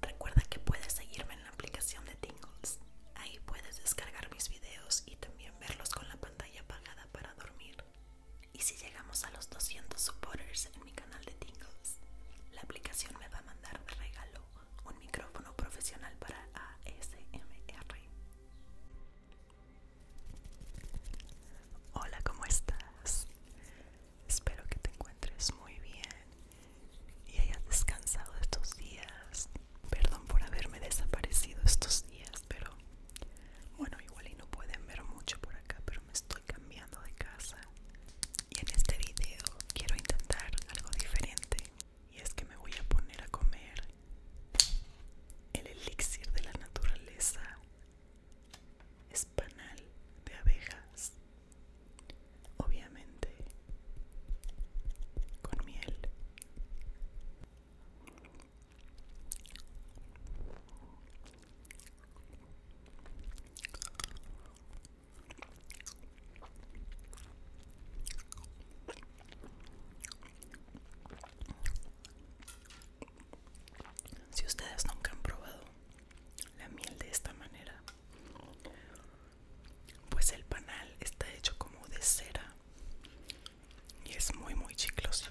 Recuerda que puedes seguirme en la aplicación de Tingles. Ahí puedes descargar mis videos y también verlos con la pantalla apagada para dormir. Y si llegamos a los 200 supporters en mi canal de Tingles, la aplicación me va a mandar de regalo un micrófono profesional para ASMR. Hola, ¿cómo estás? Espero que te encuentres muy bien y hayas descansado estos días. Perdón por haberme desaparecido estos días, pero bueno, igual y no pueden ver mucho por acá, pero me estoy cambiando de casa. Y en este video quiero intentar algo diferente. Y es que me voy a poner a comer el elixir de la naturaleza, espanal de abejas obviamente con miel si ustedes nunca han probado la miel de esta manera pues el panal está hecho como de cera y es muy muy chiclosito.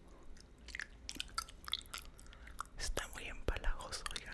Está muy empalagoso, oigan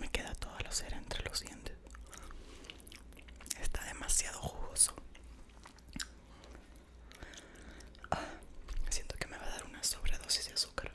me queda toda la cera entre los dientes. Está demasiado jugoso. Ah, siento que me va a dar una sobredosis de azúcar.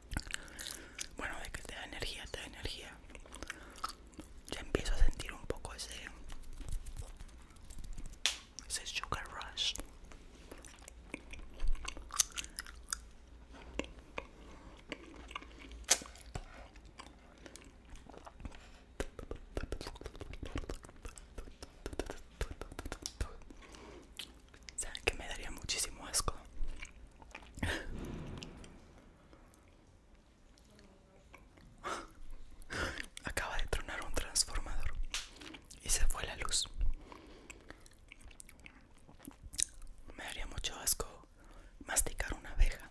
Bueno, de que te da energía, te da energía. Ya empiezo a sentir un poco ese. ese sugar rush. Saben que me daría muchísimo asco. Acaba de tronar un transformador y se fue la luz. Me daría mucho asco masticar una abeja.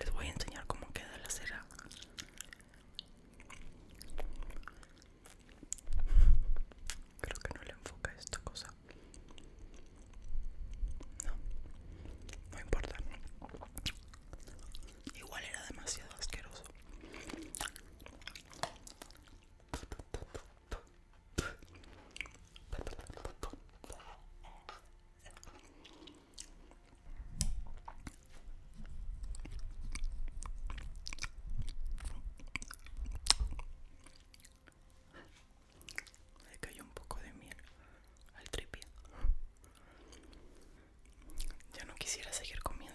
les voy a enseñar cómo queda la cera creo que no le enfoca esta cosa no no importa igual era demasiado asqueroso se cayó un poco de miel al tripié. Ya no quisiera seguir comiendo.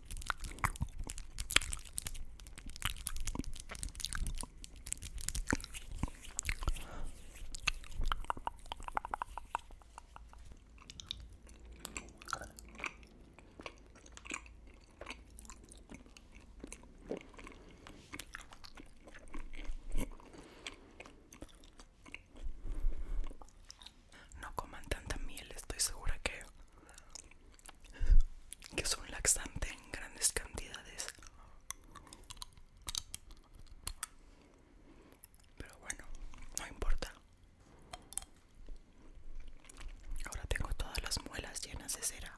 No coman tanta miel, estoy segura que que son laxantes laxante en grandes cantidades pero bueno no importa ahora tengo todas las muelas llenas de cera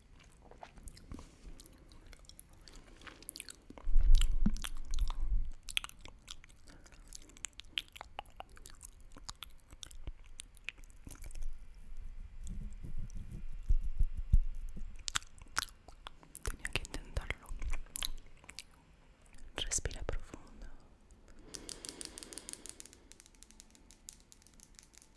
Tenía que intentarlo. Respira profundo.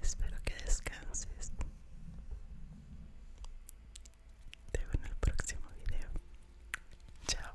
Espero que descanses. Te veo en el próximo video. Chao.